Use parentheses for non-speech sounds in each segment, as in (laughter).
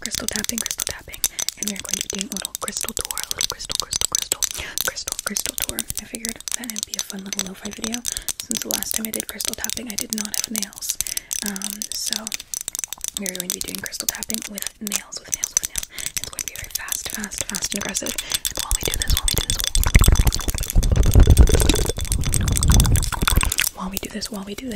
crystal tapping, crystal tapping, and we are going to be doing a little crystal tour, a little crystal, crystal, crystal, crystal, crystal tour. I figured that would be a fun little lo-fi video since the last time I did crystal tapping, I did not have nails. Um, so we are going to be doing crystal tapping with nails, with nails, with nails. It's going to be very fast, fast, fast, and aggressive. while we do this, while we do this, while we do this, while we do this,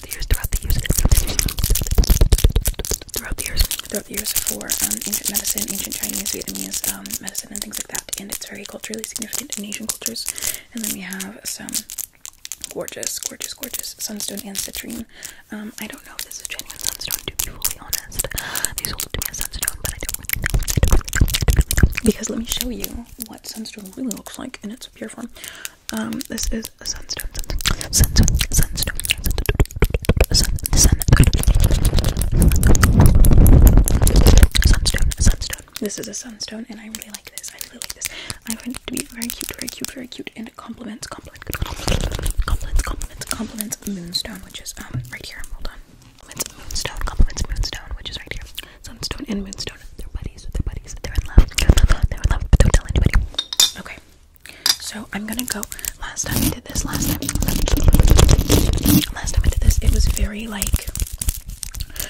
throughout the years, throughout the years, throughout the years, throughout the years for um, ancient medicine, ancient Chinese, Vietnamese um, medicine, and things like that. And it's very culturally significant in Asian cultures. And then we have some gorgeous, gorgeous, gorgeous sunstone and citrine. Um, I don't know if this is genuine sunstone, to be fully honest. these all it to me as sunstone, but I don't know. Because let me show you what sunstone really looks like in its pure form. Um, this is a sunstone, sunstone, sunstone, sunstone, sunstone, sun, sun, sunstone, sunstone. This is a sunstone, and I really like this. I really like this. I find it to be very cute, very cute, very cute, and it complements, complements, complements, complements, complements moonstone, which is um right here. Hold on. Compliments moonstone, compliments moonstone, which is right here. Sunstone and moonstone. They're buddies. They're buddies. They're in love. They're in love. But don't tell anybody. Okay. So I'm gonna go. Last time I did this, last time, last time I did this, it was very like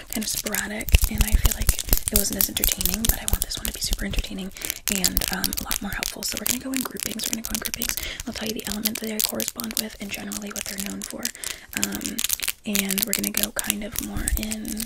kind of sporadic, and I feel like it wasn't as entertaining. But I want this one to be super entertaining and um, a lot more helpful. So we're gonna go in groupings. We're gonna go in groupings. I'll tell you the element that they correspond with and generally what they're known for. Um, and we're gonna go kind of more in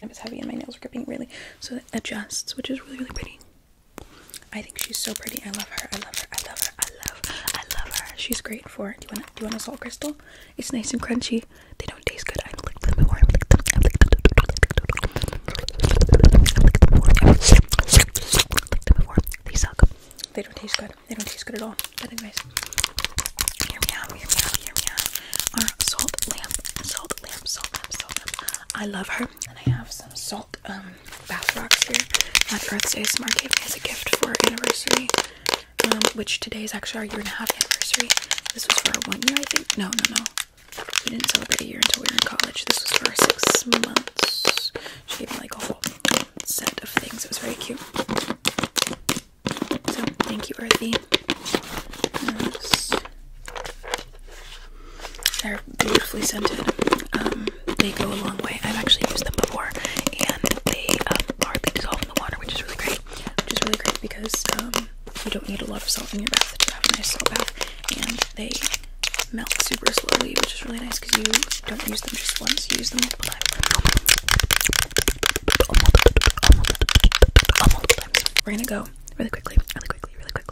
and it was heavy and my nails were gripping really so it adjusts which is really really pretty I think she's so pretty I love her I love her I love her I love I love her she's great for do you want do you want a salt crystal it's nice and crunchy they don't taste good I licked them before I licked them I licked them before they suck they don't taste good they don't taste good at all but anyways hear me out hear me out hear me out our salt lamp salt lamp salt lamp salt lamp I love her, and I have some salt um, bath rocks here My Earth Day Smart gave me as a gift for our anniversary. Um, which today is actually our year and a half anniversary. This was for our one year, I think. No, no, no. We didn't celebrate a year until we were in college. This was for six months. She gave me like a whole set of things. It was very cute. So thank you, Earthy. They're beautifully scented. Um, they go a long way. I've actually used them before, and they hardly dissolve in the water, which is really great. Which is really great because um, you don't need a lot of salt in your bath to have a salt bath, and they melt super slowly, which is really nice because you don't use them just once; use them We're gonna go really quickly, really quickly, really quickly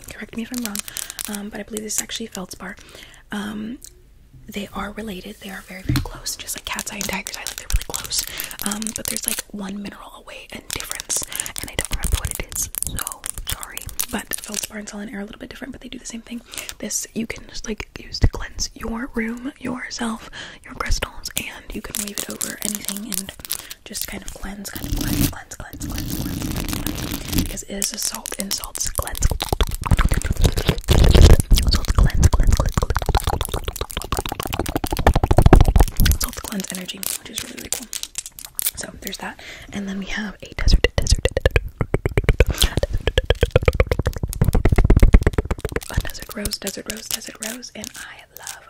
correct me if i'm wrong um, but i believe this is actually feldspar um, they are related they are very very close just like cat's eye and tiger's eye like they're really close um, but there's like one mineral away and difference and i don't remember what it is so sorry but feldspar and selenite are a little bit different but they do the same thing this you can just like use to cleanse your room yourself your crystals and you can wave it over anything and just kind of cleanse kind of cleanse cleanse, cleanse, cleanse, cleanse, because it is a salt and salts cleanse. Salt cleanse, cleanse, cleanse. Salt cleanse energy, which is really, really cool. So there's that, and then we have a desert, desert, a desert rose, desert rose, desert rose, and I love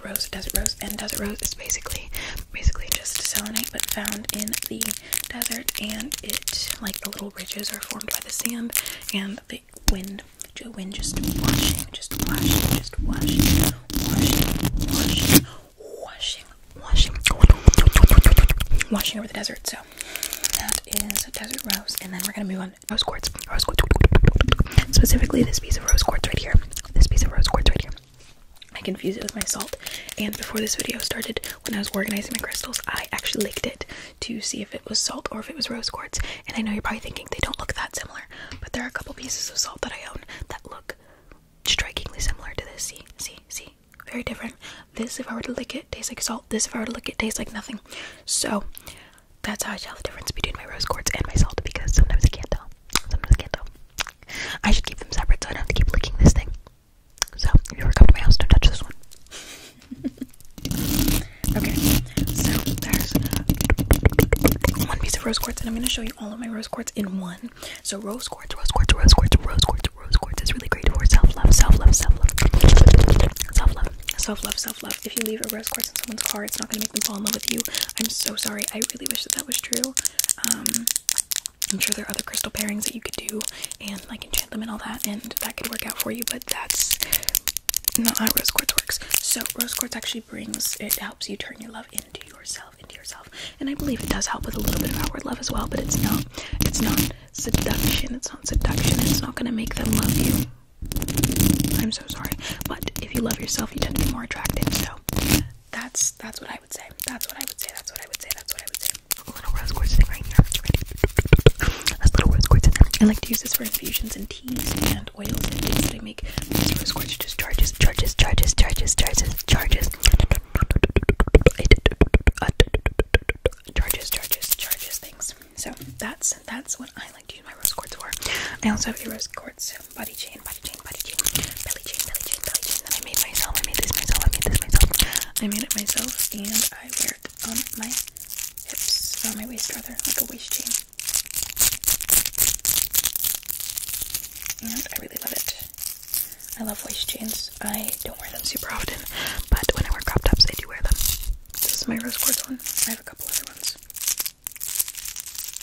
rose, desert rose, and desert rose is basically basically just selenite but found in the desert and it like the little ridges are formed by the sand and the wind the wind just washing, just washing, just washing, washing, washing, washing, over the desert. So that is desert rose, and then we're gonna move on Rose quartz. Specifically, this piece of rose quartz right here. This piece of rose quartz right here. I confuse it with my salt. And before this video started, when I was organizing my crystals, I actually licked it to see if it was salt or if it was rose quartz. And I know you're probably thinking they don't look that similar, but there are a couple pieces of salt that I own that look strikingly similar to this. See, see, see. Very different. This, if I were to lick it, tastes like salt. This, if I were to lick it, tastes like nothing. So that's how I tell the difference between my rose quartz and my salt because sometimes I can't tell. Sometimes I can't tell. I should keep them separate so I don't have to keep licking this thing. So, if you ever come to my house, don't touch this one. (laughs) okay, so there's one piece of rose quartz, and I'm going to show you all of my rose quartz in one. So, rose quartz, rose quartz, rose quartz, rose quartz, rose quartz is really great for self love, self love, self love, self love, self love, self love. If you leave a rose quartz in someone's car, it's not going to make them fall in love with you. I'm so sorry. I really wish that that was true. Um, I'm sure there are other crystal pairings that you could do and like enchant them and all that, and that could work out for you, but that's not how rose quartz works. So, rose quartz actually brings it helps you turn your love into yourself, into yourself, and I believe it does help with a little bit of outward love as well, but it's not, it's not seduction, it's not seduction, it's not gonna make them love you. I'm so sorry, but if you love yourself, you tend to be more attractive, so that's that's what I would say. That's what I would say. That's what I would say. That's what I would say. A little rose quartz thing right here. That's little rose quartz in there. I like to use this for infusions and teas and oils and things that I make. rose quartz just charges, charges, charges, charges, charges, charges. Charges, charges, charges things. So that's that's what I like to use my rose quartz for. I also have a rose quartz body chain, body chain, body chain, belly chain, belly chain, belly chain that I made myself. I made this myself. I made this myself. I made it myself, and I wear it on my hips, on my waist rather, like a waist chain. And I really love it. I love waist chains. I don't wear them super often, but when I wear crop tops, I do wear them. This is my rose quartz one. I have a couple other ones.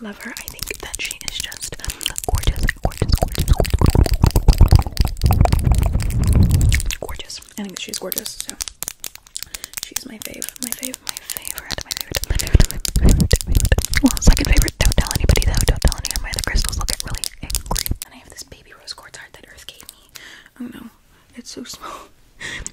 love I think that she is just gorgeous, gorgeous, gorgeous, gorgeous. Gorgeous. I think she's gorgeous, so she's my fave, my fave, my favorite, my favorite, my favorite, my favorite, my favorite. Well, second favorite. Don't tell anybody though. Don't tell anyone. My other crystals will get really angry. And I have this baby rose quartz heart that Earth gave me. Oh no, it's so small. (laughs)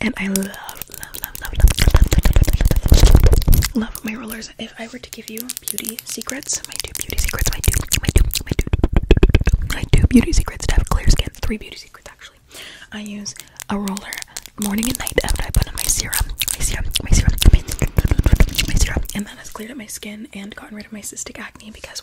and I love, love, love, love, love, love, love, love, love my rollers. If I were to give you beauty secrets, my two beauty secrets, my two, my two, my two, my two beauty secrets to have clear skin. Three beauty secrets actually. I use a roller morning and night after I put on my serum, my serum, my serum, my serum, and that has cleared up my skin and gotten rid of my cystic acne because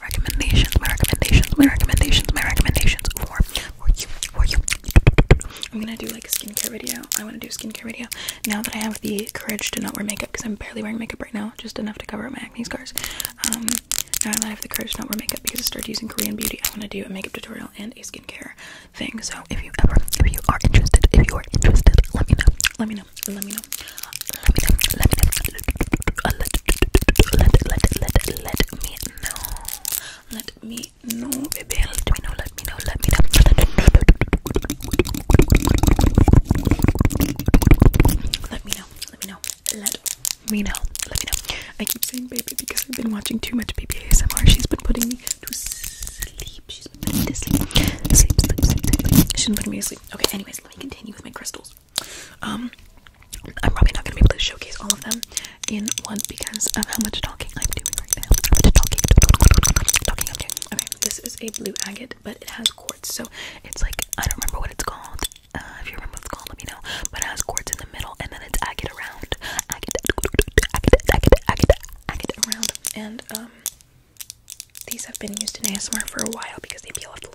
recommendations, my recommendations, my recommendations, my recommendations for for you, for you. I'm gonna do like a skincare video. I want to do a skincare video now that I have the courage to not wear makeup because I'm barely wearing makeup right now, just enough to cover up my acne scars. Um, now that I have the courage to not wear makeup because I started using Korean beauty, I want to do a makeup tutorial and a skincare thing. So if you ever, if you are interested, if you are interested, let me know. Let me know. Let me know. Let me know. Let me know. Let, let, let, let, let me Let me know, baby. Let me know. Let me know. Let me know. Let me know. Let me know. Let me know. I keep saying baby because I've been watching too much baby She's been putting me to sleep. She's been putting me to sleep. Sleep, sleep, sleep, sleep. She's been putting me to sleep. Okay. Anyways, let me continue with my crystals. Um, I'm probably not gonna be able to showcase all of them in one because of how much talking I'm doing right now. i talking, talking, talking. Okay, this is a blue agate, but it has quartz, so it's like I don't remember what it's called. Uh, if you remember what it's called, let me know. But it has quartz in the middle, and then it's agate around, agate, agate, agate, agate, agate around, and um, these have been used in ASMR for a while because they peel off the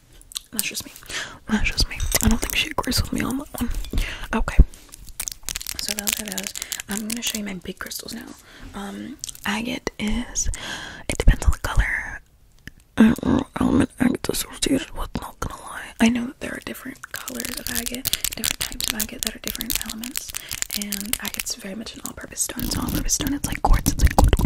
that's just me. That's just me. I don't think she agrees with me on that one. Okay. So those are those. I'm gonna show you my big crystals now. Um, agate is. It depends on the color. I know element agate associated with. Not gonna lie. I know that there are different colors of agate, different types of agate that are different elements, and agate's very much an all-purpose stone. It's all-purpose stone. It's like quartz. It's like quartz.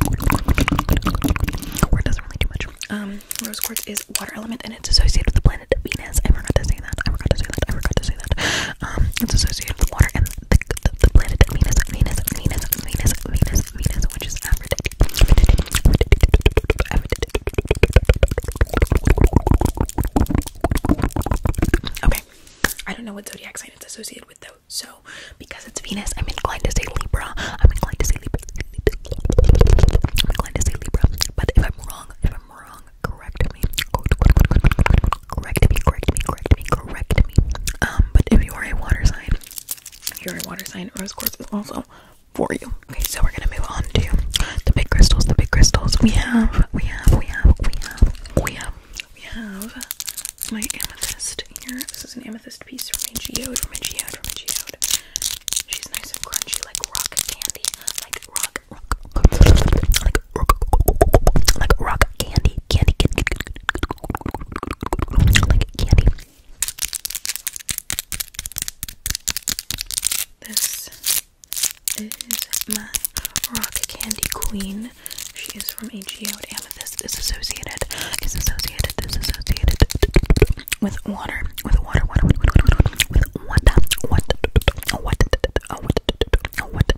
Quartz doesn't really do much. Um, rose quartz is water element and it's associated with the planet Venus. I forgot to say that. I forgot to say that. I forgot to say that. Um, it's associated with water and the, the, the planet Venus, Venus, Venus, Venus, Venus, Venus, which is Aphrodite. Okay. I don't know what zodiac sign it's associated with though. So because it's Venus, I'm inclined to say Libra. I'm inclined to say Libra. I'm inclined to say Libra. But if I'm wrong, if I'm wrong, correct me. Correct me, correct me, correct me, correct me. Um, but if you are a water sign, if you're a water sign, rose quartz is also for you. Okay, so we're gonna move on to the big crystals, the big crystals. We have, we have, we have, we have, we have, we have my amethyst here. This is an amethyst. She's nice and crunchy, like rock candy, like rock, rock, like rock, like rock candy, candy, candy, candy. This is my rock candy queen. She is from a geode. Amethyst is associated. Is Is associated with water, with water, water, water, water, water, with water, water, water, water, water,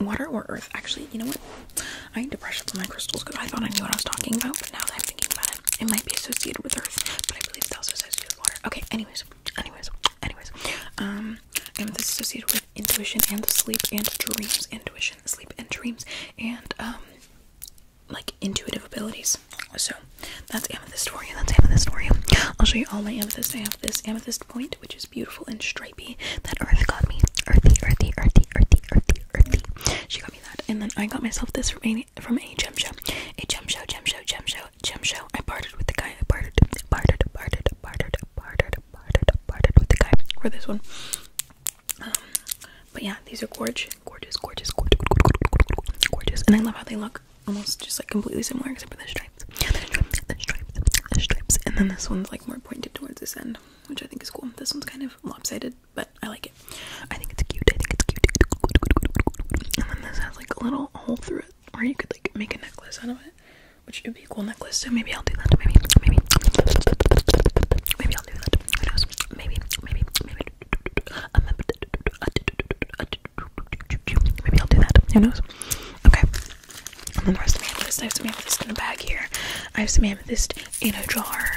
water or earth. Actually, you know what? I need to brush up on my crystals because I thought I knew what I was talking about, but now that I'm thinking about it, it might be associated with earth, but I believe it's also associated with water. Okay, anyways, anyways, anyways, um, and this is associated with intuition and sleep and dreams, intuition, sleep and dreams, and um, like intuitive abilities. So that's amethyst for you. That's amethyst for you. I'll show you all my amethyst. I have this amethyst point, which is beautiful and stripy, that Earth got me. Earthy, earthy, earthy, earthy, earthy, earthy. She got me that, and then I got myself this from a from a gem show, a gem show, gem show, gem show, gem show. I parted with the guy. I parted, parted, parted, parted, parted, parted, parted, parted with the guy for this one but yeah, these are gorgeous, gorgeous, gorgeous, gorgeous, gorgeous, gorgeous, and I love how they look almost just like completely similar except for the stripes. the stripes, the stripes, and then this one's like more pointed towards this end, which I think is cool. This one's kind of lopsided, but I like it. I think it's cute. I think it's cute. And then this has like a little hole through it, or you could like make a necklace out of it, which would be a cool necklace. So maybe I'll do that. Maybe, maybe, maybe I'll do that. Who knows? Maybe, maybe, maybe, Maybe I'll do that. Who knows? Okay. And then the rest of amethyst. I have some amethyst in a bag here. I have some amethyst in a jar.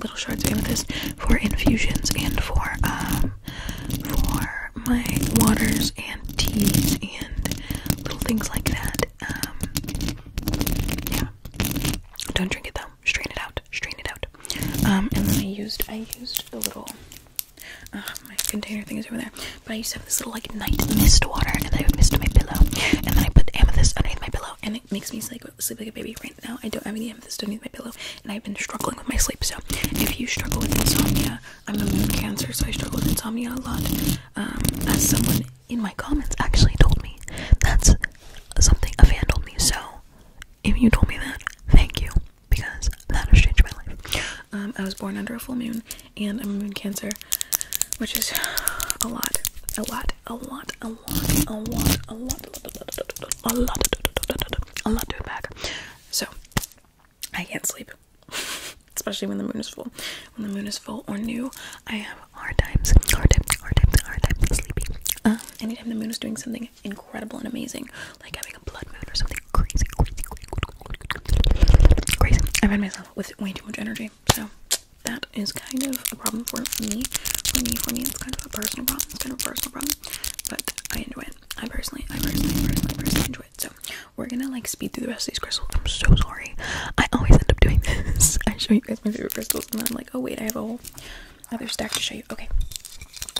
little shards of amethyst for infusions and for um for my waters and teas and little things like that. Um yeah. Don't drink it though. Strain it out. Strain it out. Um and then I used I used the little uh, my container thing is over there. But I used to have this little like night mist water and I would mist my pillow and then I put amethyst underneath my pillow and it makes me like sleep, like a baby right now. I don't have any of this underneath my pillow, and I've been struggling with my sleep. So, if you struggle with insomnia, I'm a moon cancer, so I struggle with insomnia a lot. Um, as someone in my comments actually told me, that's something a fan told me. So, if you told me that, thank you because that has changed my life. Um, I was born under a full moon, and I'm a moon cancer, which is a lot, a lot, a lot, a lot. I'm not doing lot, So I can't sleep, especially when the moon is full. When the moon is full or new, I have hard times, hard times, hard times, hard times sleeping. Uh, anytime the moon is doing something incredible and amazing, like having a blood moon or something crazy, crazy, crazy, I find myself with way too much energy. So that is kind of a problem for me. For me, for me, it's kind of a personal problem. It's kind of a personal problem but I enjoy it. I personally, I personally, I personally, personally enjoy it. So we're gonna like speed through the rest of these crystals. I'm so sorry. I always end up doing this. (laughs) I show you guys my favorite crystals, and then I'm like, oh wait, I have a whole other stack to show you. Okay,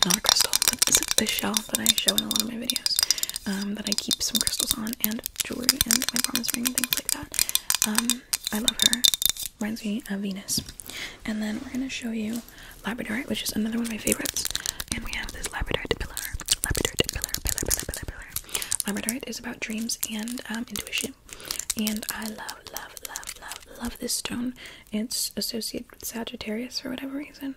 not a crystal, but this is the shelf that I show in a lot of my videos. Um, that I keep some crystals on and jewelry and my promise ring and things like that. Um, I love her reminds me of Venus. And then we're gonna show you labradorite, which is another one of my favorites. And we have this labradorite pillar, labradorite pillar, Labradorite is about dreams and um, intuition. And I love, love, love, love, love this stone. It's associated with Sagittarius for whatever reason,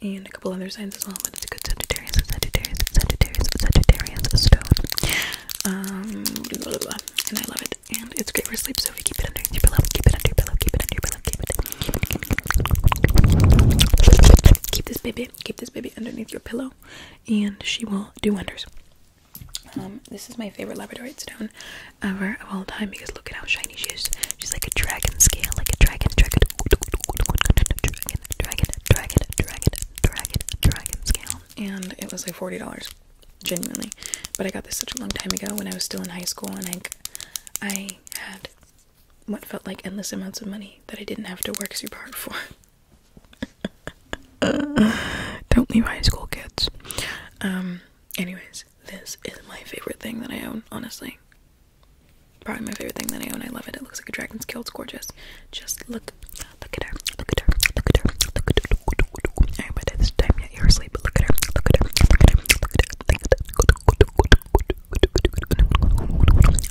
and a couple other signs as well. But it's a good Sagittarius, Sagittarius, Sagittarius, Sagittarius stone. Um, and I love it and it's great for sleep. So if you keep it under your pillow, keep it under your pillow, keep it under your pillow, keep it. Keep, it, keep, keep this baby, keep this baby underneath your pillow, and she will do wonders. Um, this is my favorite Labradorite stone ever of all time because look at how shiny she is. She's like a dragon scale, like a dragon, dragon, dragon, dragon, dragon, dragon, dragon, dragon scale. And it was like forty dollars genuinely. But I got this such a long time ago when I was still in high school, and I, I had what felt like endless amounts of money that I didn't have to work super hard for. don't leave high school, kids. Um. Anyways, this is my favorite thing that I own. Honestly, probably my favorite thing that I own. I love it. It looks like a dragon's tail. It's gorgeous. Just look, look at her. Look at her. Look at her. Look at her. Look at her. Look at this time yeah, you're asleep, but look at her, look at her, look at her, look at her, look at her.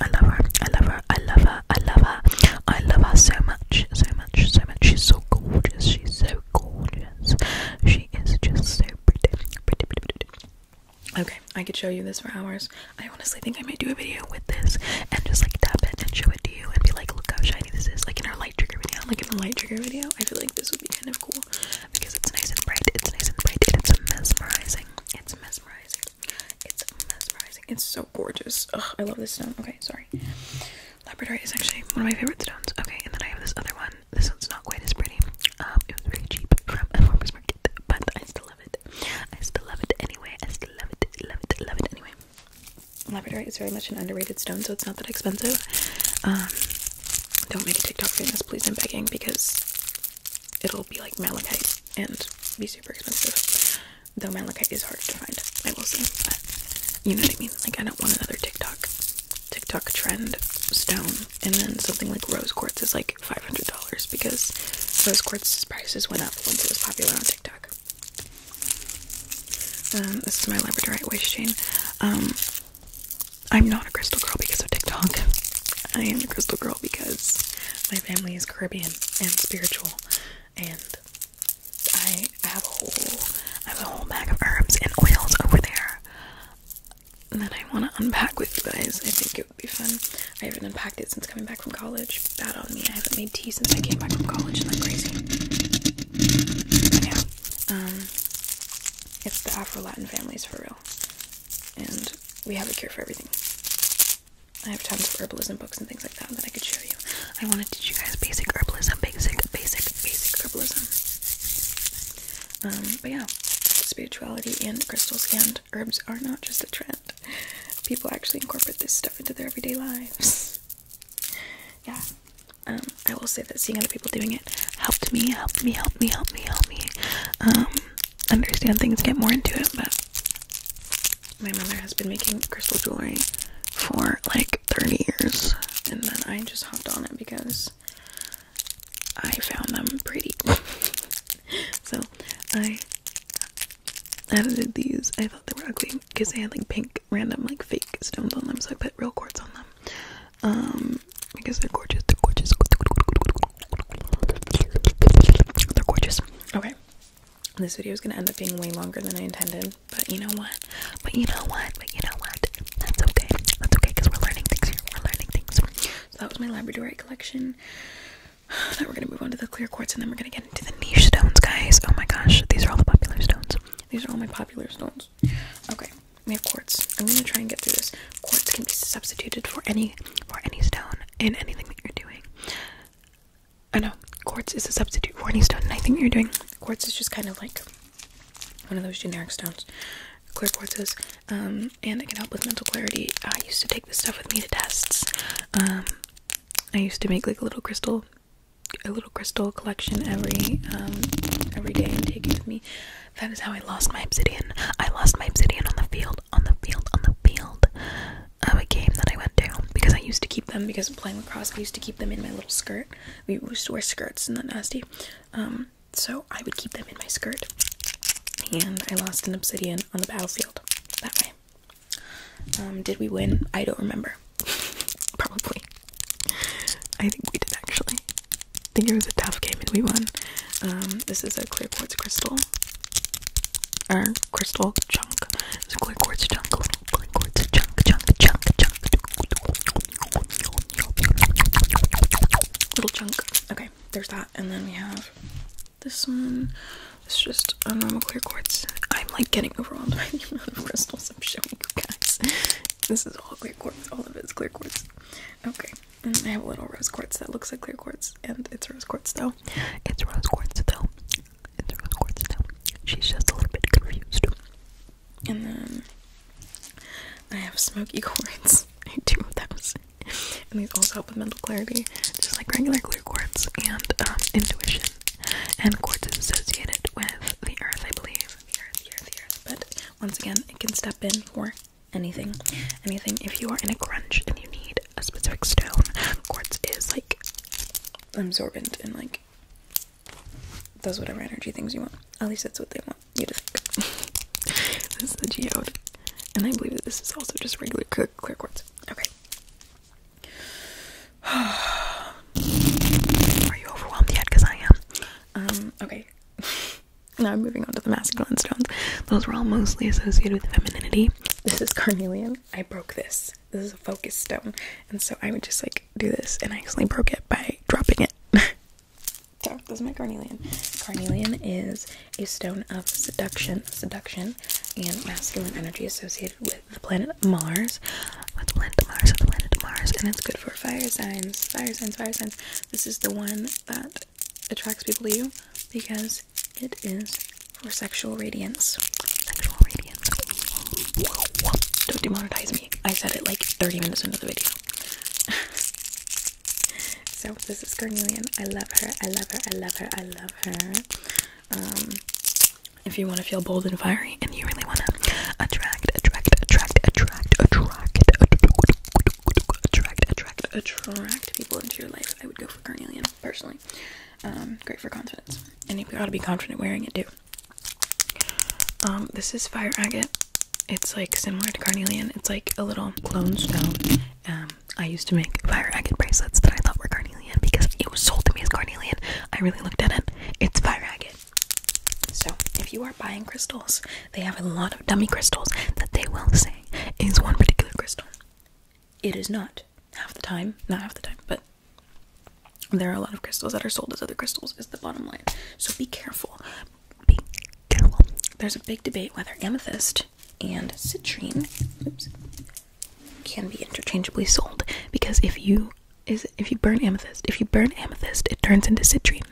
I love her, I love her, I love her, I love her, I love her so much, so much, so much. She's so gorgeous, she's so gorgeous. She is just so pretty, pretty, pretty, pretty. Okay, I could show you this for hours. I honestly think I might do a video with this and just like tap it and show it to you and be like, look how shiny this is. Like in our light trigger video, like in the light trigger video, I feel like this would be kind of cool because it's nice and bright, it's nice and bright, it's mesmerizing. It's mesmerizing. It's mesmerizing. It's so gorgeous. Ugh, I love this stone. Okay, sorry. Labradorite is actually one of my favorite stones. Okay, and then I have this other one. This one's not quite as pretty. Um, it was really cheap from a market, but I still love it. I still love it anyway. I still love it, love it, love it anyway. Labradorite is very much an underrated stone, so it's not that expensive. Um, don't make a TikTok this, please. I'm begging because it'll be like malachite and be super expensive. Though malachite is hard to find, I will say. But you know what I mean? Like, I don't want another TikTok, TikTok trend stone, and then something like rose quartz is like five hundred dollars because rose quartz prices went up once it was popular on TikTok. Um, this is my labradorite wish chain. Um, I'm not a crystal girl because of TikTok. I am a crystal girl because my family is Caribbean and spiritual, and I have a whole I have a whole bag of herbs and oils over there that I want to unpack with you guys. I think it would be fun. I haven't unpacked it since coming back from college. Bad on me. I haven't made tea since I came back from college. Isn't that crazy? Um. It's the Afro Latin families for real. And we have a cure for everything. I have tons of herbalism books and things like that that I could show you. I want to teach you guys basic herbalism, basic, basic, basic herbalism. Um, but yeah, spirituality and crystals and herbs are not just a trend. People actually incorporate this stuff into their everyday lives. (laughs) yeah, um, I will say that seeing other people doing it helped me, helped me, helped me, helped me, helped me um, understand things, get more into it. But my mother has been making crystal jewelry for like 30 years, and then I just hopped on it because I found them pretty. (laughs) so I edited these. I thought they were ugly because they had like pink, random, like fake stones on them, so I put real quartz on them. Um, because they're gorgeous. They're gorgeous. They're gorgeous. Okay. This video is gonna end up being way longer than I intended, but you know what? But you know what? But you know what? That's okay. That's okay because we're learning things here. We're learning things. So that was my Labradorite collection. (sighs) Now we're gonna move on to the clear quartz, and then we're gonna get into the niche stones, guys. Oh my gosh, these are all the popular stones. These are all my popular stones. Okay, we have quartz. I'm gonna try and get through this. Quartz can be substituted for any for any stone in anything that you're doing. I know quartz is a substitute for any stone in anything you're doing. Quartz is just kind of like one of those generic stones. Clear quartzes, um, and it can help with mental clarity. I used to take this stuff with me to tests. Um, I used to make like a little crystal, a little crystal collection every um, every day and take it with me. That is how I lost my obsidian. I lost my obsidian on the field, on the field, on the field of a game that I went to because I used to keep them because playing lacrosse. I used to keep them in my little skirt. We used to wear skirts, in that nasty? Um, so I would keep them in my skirt, and I lost an obsidian on the battlefield that way. Um, did we win? I don't remember. (laughs) Probably. I think we did actually. I think it was a tough game and we won. Um, this is a clear quartz crystal. Or crystal chunk. It's a clear quartz chunk. Clear quartz chunk, chunk, chunk, chunk. Little chunk. Okay, there's that. And then we have this one. It's just a normal clear quartz. I'm like getting overwhelmed by the amount of crystals I'm showing you guys. This is all clear quartz. All of it is clear quartz. Okay, and I have a little rose quartz that looks like clear quartz, and it's rose quartz though. It's rose quartz though. It's rose quartz though. She's just a little bit confused. And then I have smoky (laughs) quartz. I have two of those. And these also help with mental clarity, just like regular clear quartz and um, intuition. And quartz is associated with the earth, I believe. The earth, the earth, the earth. Once again, it can step in for anything. Anything. If you are in a crunch and you need a specific stone, quartz is like absorbent and like does whatever energy things you want. At least that's what they want you to think. (laughs) this is the geode. And I believe that this is also just regular clear, clear quartz. Okay. (sighs) Are you overwhelmed yet? Because I am. Um, okay. (laughs) Now I'm moving on to the masculine stones. Those were all mostly associated with femininity. This is carnelian. I broke this. This is a focus stone. And so I would just like do this and I accidentally broke it by dropping it. (laughs) so this is my carnelian. Carnelian is a stone of seduction, seduction, and masculine energy associated with the planet Mars. What's planet Mars? The planet Mars. And it's good for fire signs, fire signs, fire signs. This is the one that attracts people to you because it is for sexual radiance. Sexual radiance. Don't demonetize me. I said it like 30 minutes into the video. (laughs) so this is Carnelian. I love her. I love her. I love her. I love her. Um, if you want to feel bold and fiery and you really want to attract, attract, attract, attract, attract, attract, attract, attract people into your life. I would go for carnelian personally. Um, great for confidence, and you got to be confident wearing it too. Um, this is fire agate. It's like similar to carnelian. It's like a little clone stone. Um, I used to make fire agate bracelets that I thought were carnelian because it was sold to me as carnelian. I really looked at it. It's fire agate. So, if you are buying crystals, they have a lot of dummy crystals that they will say is one particular crystal. It is not half the time, not half the time, but there are a lot of crystals that are sold as other crystals, is the bottom line. So, be careful. Be careful. There's a big debate whether amethyst and citrine can be interchangeably sold because if you is if you burn amethyst, if you burn amethyst, it turns into citrine.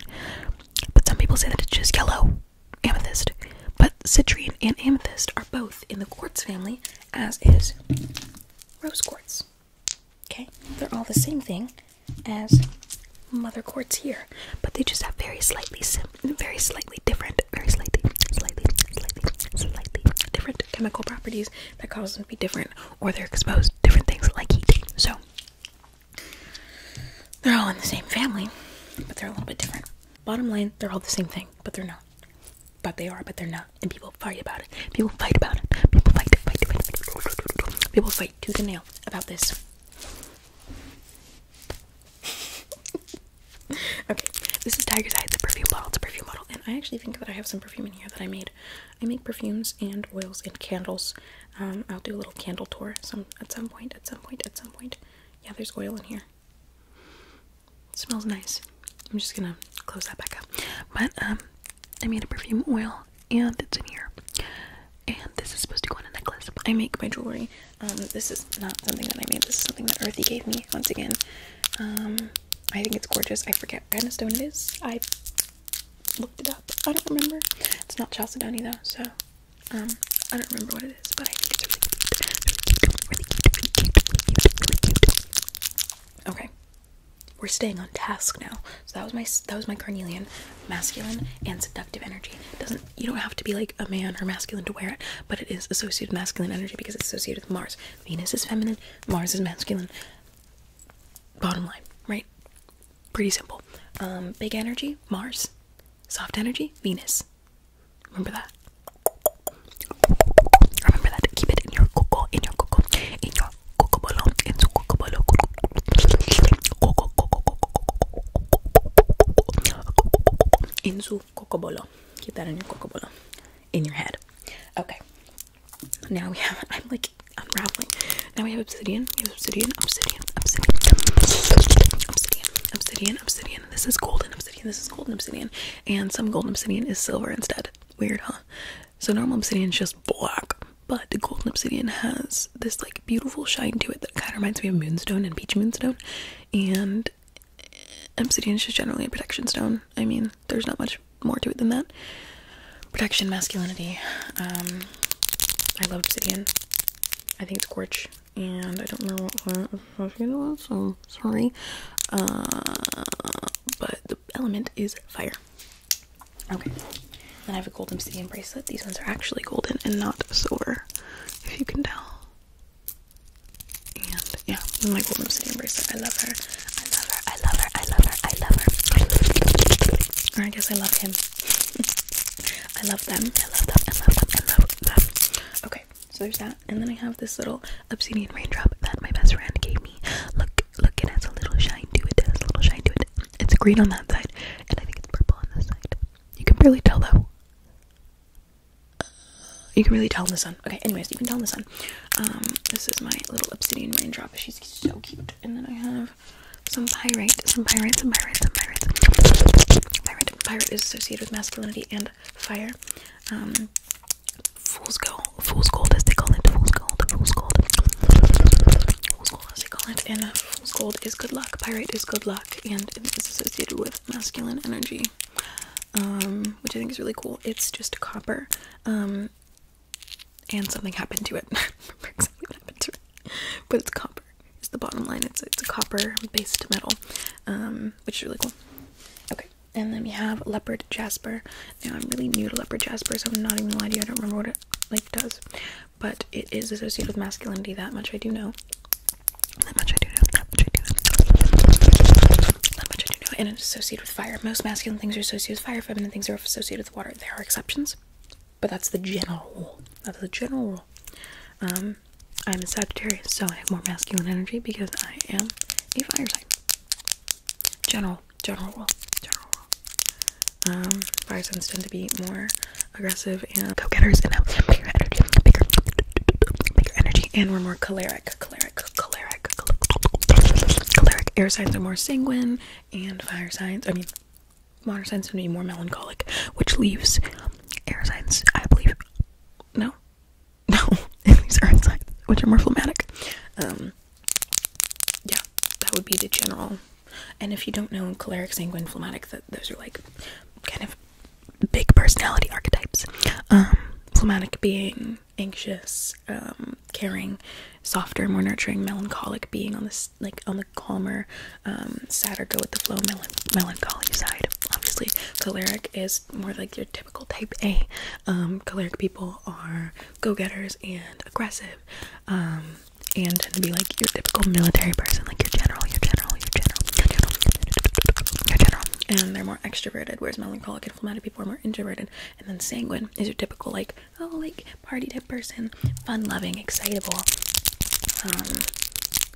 But some people say that it's just yellow amethyst. But citrine and amethyst are both in the quartz family, as is rose quartz. Okay? They're all the same thing as mother quartz here, but they just have very slightly very slightly different, very slightly, slightly, slightly, slightly different chemical properties that cause them to be different or they're exposed to different things like heat. So they're all in the same family, but they're a little bit different. Bottom line, they're all the same thing, but they're not. But they are, but they're not. And people fight about it. People fight about it. People fight, fight, fight. People fight tooth and nail about this. (laughs) okay, this is Tiger's Eye. It's a perfume bottle. It's a perfume bottle. And I actually think that I have some perfume in here that I made. I make perfumes and oils and candles um, I'll do a little candle tour some at some point, at some point, at some point. Yeah, there's oil in here. smells nice. I'm just gonna close that back up. But um, I made a perfume oil and it's in here. And this is supposed to go on a necklace. I make my jewelry. Um, this is not something that I made. This is something that Earthy gave me once again. Um, I think it's gorgeous. I forget what kind of stone it is. I looked it up. I don't remember. It's not chalcedony though, so um, I don't remember what it is, but I think it's really cute. Okay. We're staying on task now. So that was my that was my carnelian, masculine and seductive energy. doesn't you don't have to be like a man or masculine to wear it, but it is associated with masculine energy because it's associated with Mars. Venus is feminine, Mars is masculine. Bottom line, right? Pretty simple. Um, big energy, Mars. Soft energy, Venus. Remember that. Remember that. Keep it in your coco, in your coco, in your coco balloon, in your coco balloon. Coco, coco, coco, in su cocobolo. Keep that in your cocobolo. In your head. Okay. Now we have (laughs) I'm like unraveling. Now we have obsidian. We have obsidian, obsidian, obsidian, obsidian, obsidian, obsidian. This is golden obsidian. This is golden obsidian. And some golden obsidian is silver instead. Weird, huh? So normal obsidian is just black. But the golden obsidian has this like beautiful shine to it that kind of reminds me of moonstone and peach moonstone. And obsidian is just generally a protection stone. I mean, there's not much more to it than that. Protection, masculinity. Um, I love obsidian. I think it's Gorch, and I don't know what associated was, so sorry. Uh, but the element is fire. Okay. Then I have a golden obsidian bracelet. These ones are actually golden and not silver, if you can tell. And yeah, my golden obsidian bracelet. I love her. I love her. I love her. I love her. I love her. Or I guess I love him. I love them. I love them. I love them. I love them. Okay, so there's that. And then I have this little obsidian raindrop that my best friend gave me. Look, look, it has a little shine to it. It a little shine to it. It's green on that side, and I think it's purple on this side. You can barely tell though. You can really tell in the sun. Okay, anyways, you can tell in the sun. Um, this is my little obsidian raindrop. She's so cute. And then I have some pirate, some pyrite, some pyrite, some pyrite, Pirate, pyrite. is associated with masculinity and fire. Um, fool's gold, fool's gold as they call it, fool's gold, fool's gold, fool's gold as they call it, and uh, fool's gold is good luck. Pirate is good luck, and it is associated with masculine energy, um, which I think is really cool. It's just copper, um, and something happened to it. something (laughs) happened to it, but it's copper copper is the bottom line. It's it's a copper based metal, um, which is really cool. Okay, and then we have leopard jasper. Now I'm really new to leopard jasper, so I'm not even lying to you. I don't remember what it like does, but it is associated with masculinity. That much I do know. That much I do know. That much I do know. And it's associated with fire. Most masculine things are associated with fire. Feminine things are associated with water. There are exceptions but that's the general rule. That's the general rule. Um, I'm a Sagittarius, so I have more masculine energy because I am a fire sign. General, general rule, general rule. Um, fire signs tend to be more aggressive and go-getters and have bigger energy, bigger, bigger energy, and we're more choleric, choleric, choleric, choleric. Air signs are more sanguine, and fire signs. I mean, modern tend to be more melancholic, which leaves air signs, I believe. No, (laughs) no, (laughs) it earth signs, which are more phlegmatic. Um, yeah, that would be the general. And if you don't know choleric, sanguine, phlegmatic, that those are like kind of big personality archetypes. Um, phlegmatic being anxious, um, caring, softer, more nurturing, melancholic being on this like on calmer um, sadder go with the flow melancholy side obviously choleric is more like your typical type a um, choleric people are go-getters and aggressive um, and tend to be like your typical military person like your general your general your general your general your general and they're more extroverted whereas melancholic and phlegmatic people are more introverted and then sanguine is your typical like oh like party type person, fun loving, excitable, um,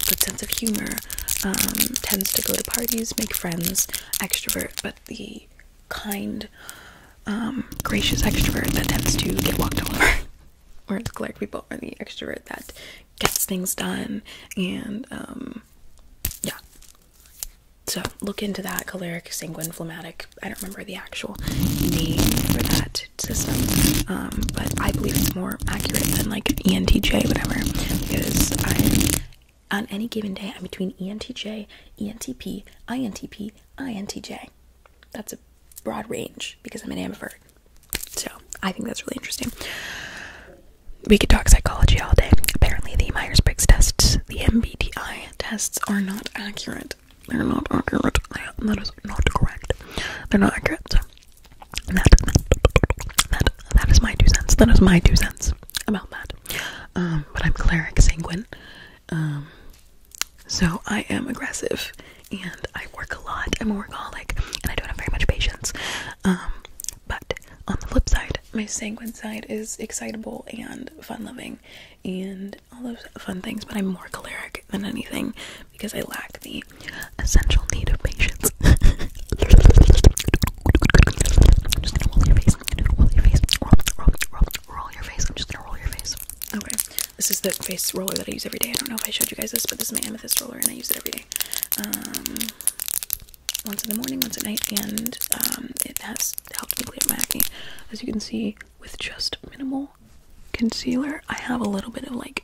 good sense of humor, um, tends to go to parties, make friends, extrovert, but the kind, um, gracious extrovert that tends to get walked over. or the clear people are the extrovert that gets things done and yeah so look into that choleric sanguine phlegmatic i don't remember the actual name for that system, um, but I believe it's more accurate than like ENTJ, whatever, because on any given day, I'm between ENTJ, ENTP, INTP, INTJ. That's a broad range because I'm an ambivert. So I think that's really interesting. We could talk psychology all day. Apparently, the Myers Briggs tests, the MBTI tests, are not accurate. They're not accurate. That is not correct. They're not accurate. that, that, that is my two cents. That is my two cents about that. Um, but I'm cleric sanguine. Um, so I am aggressive and I work a lot. I'm a workaholic and I don't have very much patience. Um, but on the flip side, my sanguine side is excitable and fun loving and all those fun things, but I'm more choleric than anything because I lack the essential need of patience. I'm (laughs) just gonna roll your face. I'm gonna roll your face. Roll, your face. I'm just gonna roll your face. Okay. This is the face roller that I use every day. I don't know if I showed you guys this, but this is my amethyst roller and I use it every day. Um once in the morning, once at night, and um it has helped me clear my acne. As you can see, with just minimal concealer, I have a little bit of like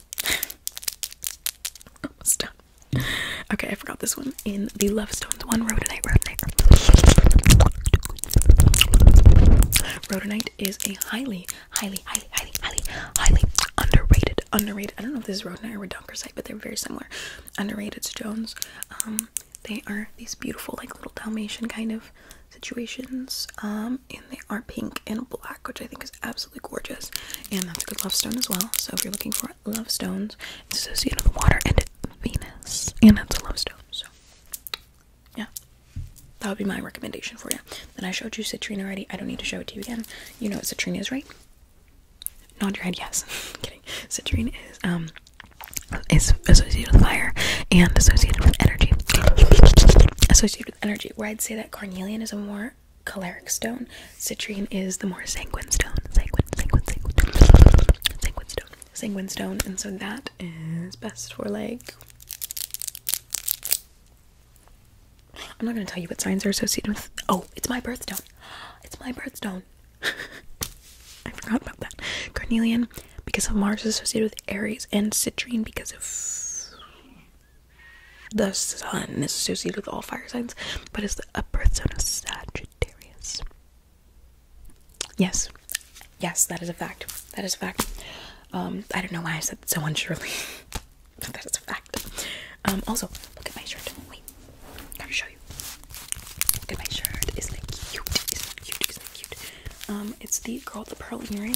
(laughs) almost done. Okay, I forgot this one in the Love Stones one. Rhodonite, rhodonite. is a highly, highly, highly, highly, highly, highly underrated, underrated. I don't know if this is rhodonite or redonkersite, but they're very similar. Underrated stones. Um, they are these beautiful, like little Dalmatian kind of situations. Um, they are pink and black, which I think is absolutely gorgeous. And that's a good love stone as well. So if you're looking for love stones, it's associated with water and Venus, and that's a love stone. So yeah, that would be my recommendation for you. Then I showed you citrine already. I don't need to show it to you again. You know what citrine is, right? Nod your head yes. (laughs) kidding. Citrine is um is associated with fire and associated with energy. (laughs) associated with energy. Where I'd say that carnelian is more choleric stone. Citrine is the more sanguine stone. Sanguine, sanguine, sanguine, sanguine stone. Sanguine stone, and so that is best for like. I'm not gonna tell you what signs are associated with. Oh, it's my birthstone. It's my birthstone. (laughs) I forgot about that. Carnelian because of Mars is associated with Aries, and citrine because of the sun is associated with all fire signs, but it's the birth sign of Sagittarius. Yes, yes, that is a fact. That is a fact. Um, I don't know why I said so unsurely. (laughs) that is a fact. Um, also, look at my shirt. Wait, gotta show you. Look at my shirt. Isn't it cute? Isn't it cute? Isn't it cute? Um, it's the girl with the pearl earring.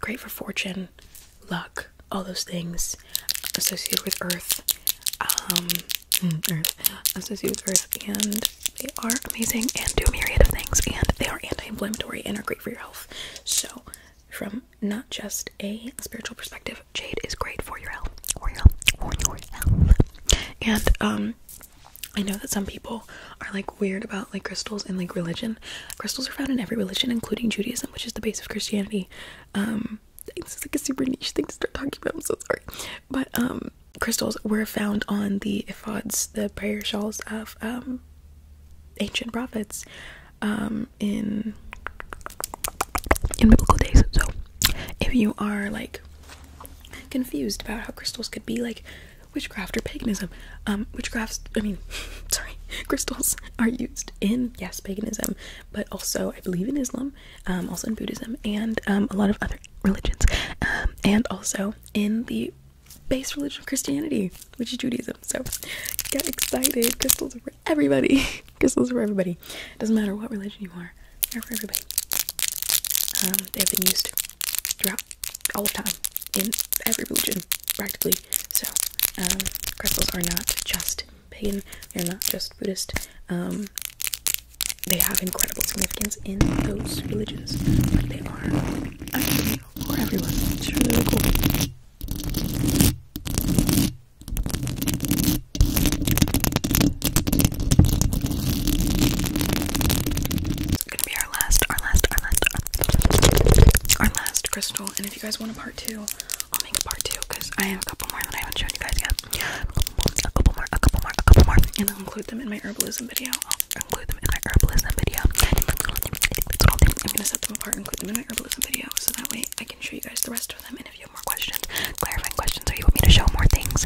great for fortune, luck, all those things associated with Earth. Um, mm, Earth associated with Earth, and they are amazing and do a myriad of things, and they are anti-inflammatory and are great for your health. So, from not just a spiritual perspective, jade is great for your health, for your health, for your health, and um, I know that some people are like weird about like crystals and like religion. Crystals are found in every religion, including Judaism, which is the base of Christianity. Um, this is like a super niche thing to start talking about. I'm so sorry, but um, crystals were found on the ephods, the prayer shawls of um, ancient prophets, um, in in biblical days. So, if you are like confused about how crystals could be like witchcraft or paganism. Um, witchcrafts, I mean, (laughs) sorry, (laughs) crystals are used in, yes, paganism, but also, I believe, in Islam, um, also in Buddhism, and um, a lot of other religions, um, and also in the base religion of Christianity, which is Judaism. So get excited. Crystals are for everybody. (laughs) Crystals are for everybody. Doesn't matter what religion you are, they're for everybody. they've been used throughout all of time in every religion practically. So um, crystals are not just pagan; they're not just Buddhist. Um, they have incredible significance in those religions. Like they are actually for everyone. It's really cool gonna be our last, our last, our last, our, last crystal. And if you guys want a part two, I'll make a part two because I have a couple more that I haven't shown you guys yet. A couple more, a couple more, a couple more, and I'll include them in my herbalism video. I'll include them in my herbalism video. I'm gonna set them apart and include them in my herbalism video so that way I can show you guys the rest of them. And if you have more questions, clarifying questions, or you want me to show more things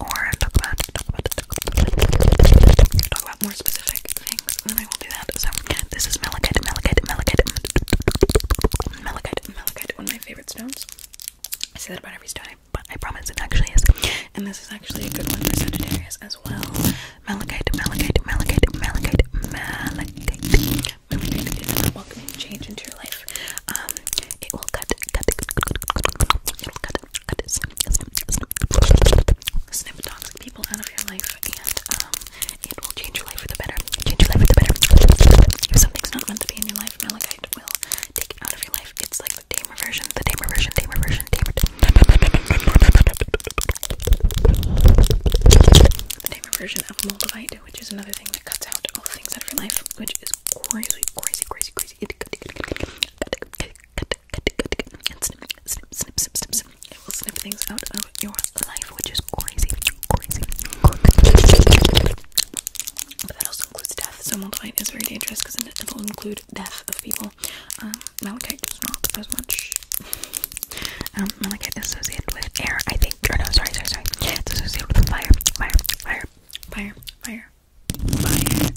or talk about talk about, talk about more specific things, and I will do that. So this is malachite, malachite, malachite, malachite, malachite, one of my favorite stones. I say that about every stone, but I promise it actually is. And this is actually a good one for Sagittarius as well. Malachite, malachite, malachite, malachite, malachite. Malachite is a welcoming change into your life. Um, it will cut, cut, cut, cut, cut, cut, cut, cut, cut, Snip toxic people out of your life, and um, it will change your life for the better. Change your life for the better. If something's not meant to be in your life, Malachite will take it out of your life. It's like the tamer version, the tamer version, tamer version, tamer. The tamer version of Moldavite, which is another thing that cuts out all the things out of your life, which is crazy, crazy, crazy, crazy. It and snip, snip, snip, snip, snip, snip. It will snip things out of your life, which is crazy, crazy. But that also includes death, so Moldavite is very dangerous because it will include death of people. Um, does not as much. Um, is associated with air, I think. Or no, sorry, sorry, sorry. It's associated with fire, fire, fire, fire, fire, fire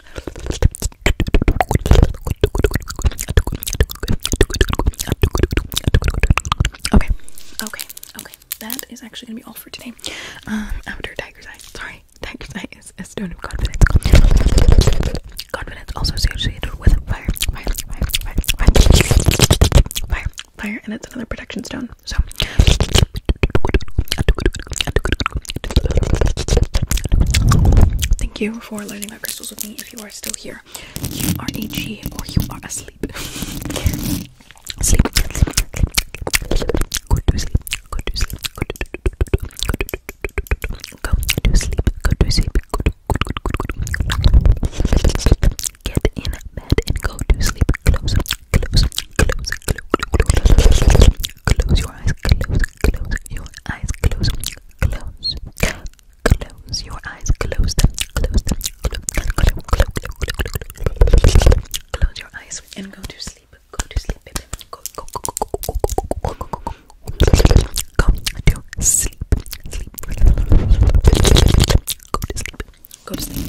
Okay, okay, okay. That is actually gonna be all for today. Um, after Tiger's Eye, sorry, Tiger's Eye is a stone of confidence. Confidence also associated with fire, fire, fire, fire, fire, fire, and it's another protection stone. So. Thank you for letting learning crystals with me if you are still here. You are a G or you are asleep. sleep. Sleep. Go to sleep. Go to sleep. Go to sleep. Go to sleep. Go to sleep. Go to Get in bed and go to sleep. Close, close, close, close, close, close your eyes. Close, close your eyes. Close, close, close your eyes, close them, close them, close, close, close, close, close your eyes and go to sleep, go to sleep, baby, go, go, go, go, go, go, go, go, go to sleep, sleep, go to sleep, go to sleep,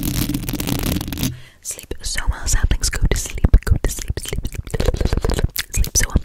sleep so well, saplings, go to sleep, go to sleep, sleep, sleep, sleep so well